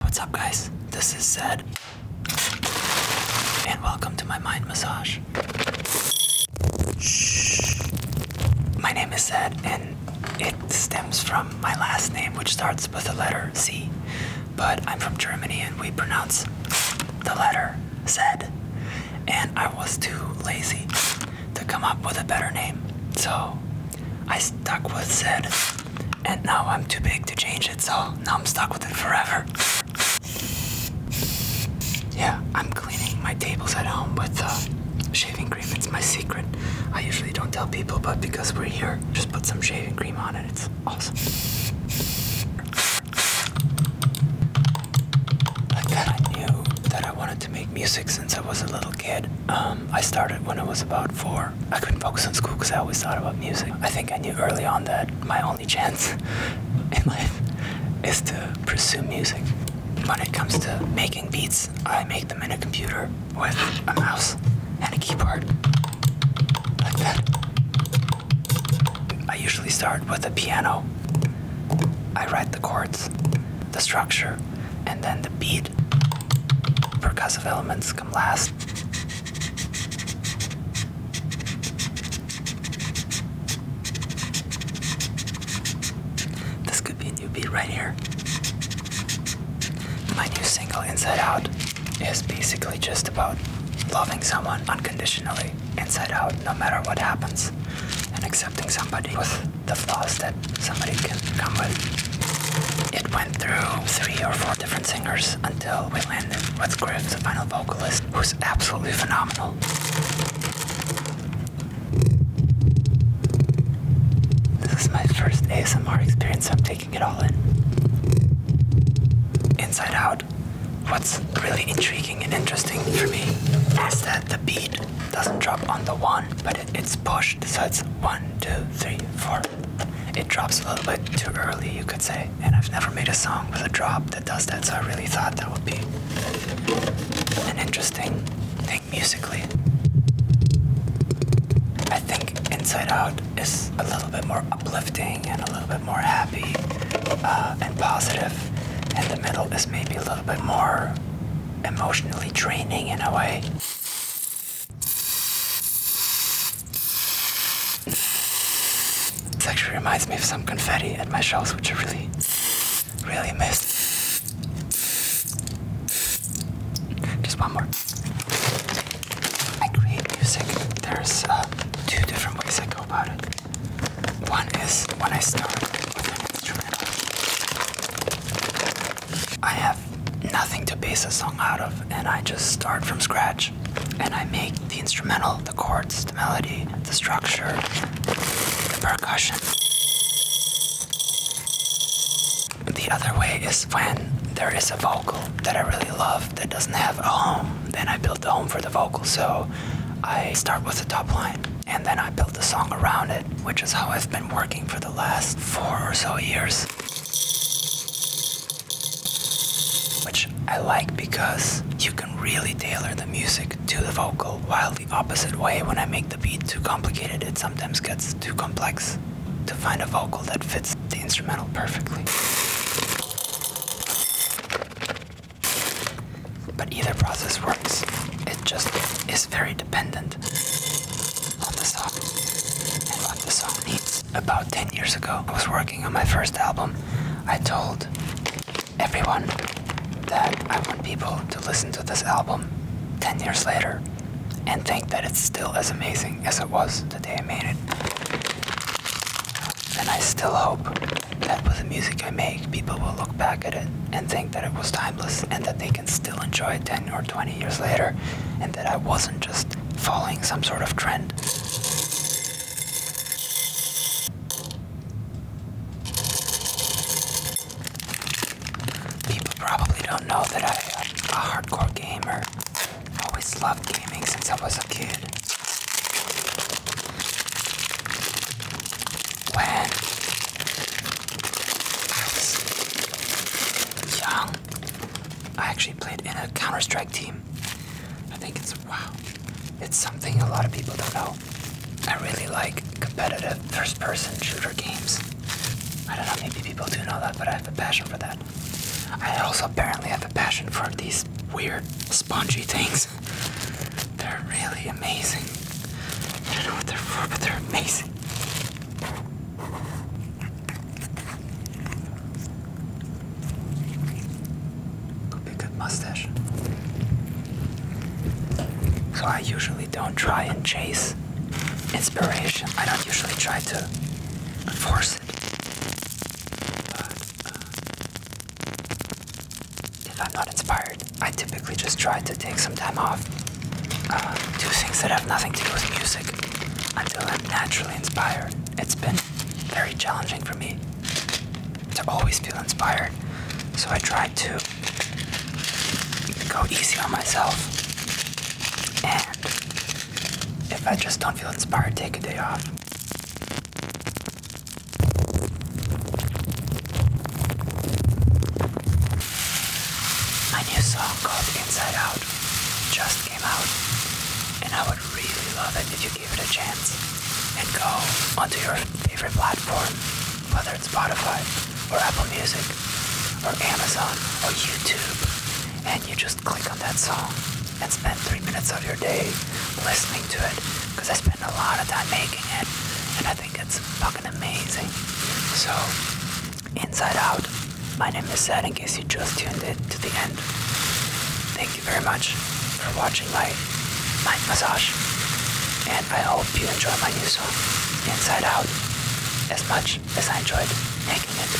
What's up, guys? This is Zed. And welcome to my mind massage. Shh. My name is Zed, and it stems from my last name, which starts with the letter C. But I'm from Germany, and we pronounce the letter Z. And I was too lazy to come up with a better name. So I stuck with Zed, and now I'm too big to change it, so now I'm stuck with it forever. Yeah, I'm cleaning my tables at home with uh, shaving cream. It's my secret. I usually don't tell people, but because we're here, just put some shaving cream on it. It's awesome. Like that, I knew that I wanted to make music since I was a little kid. Um, I started when I was about four, I couldn't focus on school because I always thought about music. I think I knew early on that my only chance in life is to pursue music. When it comes to making beats, I make them in a computer with a mouse and a keyboard. Like that. I usually start with a piano. I write the chords, the structure, and then the beat. Percussive elements come last. This could be a new beat right here. My new single, Inside Out, is basically just about loving someone unconditionally, inside out, no matter what happens, and accepting somebody the flaws that somebody can come with. It went through three or four different singers until we landed with Griff, the final vocalist, who's absolutely phenomenal. This is my first ASMR experience, I'm taking it all in. Inside Out, what's really intriguing and interesting for me is that the beat doesn't drop on the one, but it's pushed, so it's one, two, three, four. It drops a little bit too early, you could say. And I've never made a song with a drop that does that, so I really thought that would be an interesting thing musically. I think Inside Out is a little bit more uplifting and a little bit more happy uh, and positive, and the middle is maybe a little bit more emotionally draining in a way. It actually reminds me of some confetti at my shows, which I really, really miss. Just one more. I create music. There's uh, two different ways I go about it. One is when I start with an instrument, I have nothing to base a song out of, and I just start from scratch. And I make the instrumental, the chords, the melody, the structure, the percussion. The other way is when there is a vocal that I really love that doesn't have a home, then I build a home for the vocal. So I start with the top line and then I built a song around it, which is how I've been working for the last four or so years. Which I like because you can really tailor the music to the vocal, while the opposite way, when I make the beat too complicated, it sometimes gets too complex to find a vocal that fits the instrumental perfectly. But either process works, it just is very dependent on the song and what the song needs. About 10 years ago, I was working on my first album. I told everyone that I want people to listen to this album 10 years later and think that it's still as amazing as it was the day I made it. And I still hope that was the music I make, people will look back at it and think that it was timeless and that they can still enjoy it 10 or 20 years later and that I wasn't just following some sort of trend. People probably don't know that I'm a hardcore gamer. I always loved gaming since I was a kid. When I was I actually played in a Counter Strike team. I think it's wow, it's something a lot of people don't know. I really like competitive first person shooter games. I don't know, if maybe people do know that, but I have a passion for that. I also apparently have a passion for these weird spongy things. They're really amazing. I don't know what they're for, but they're amazing. Could be good mustache. So I usually don't try and chase inspiration. I don't usually try to force it. Uh, if I'm not inspired, I typically just try to take some time off, uh, do things that have nothing to do with music until I'm naturally inspired. It's been very challenging for me to always feel inspired, so I try to go easy on myself. And if I just don't feel inspired, take a day off. My new song called Inside Out just came out, and I would really love it if you give it a chance and go onto your favorite platform, whether it's Spotify or Apple Music or Amazon or YouTube, and you just click on that song and spend three minutes of your day listening to it because I spend a lot of time making it and I think it's fucking amazing. So, inside out, my name is Sad in case you just tuned in to the end. Thank you very much for watching my mind massage and I hope you enjoy my new song, Inside Out, as much as I enjoyed making it.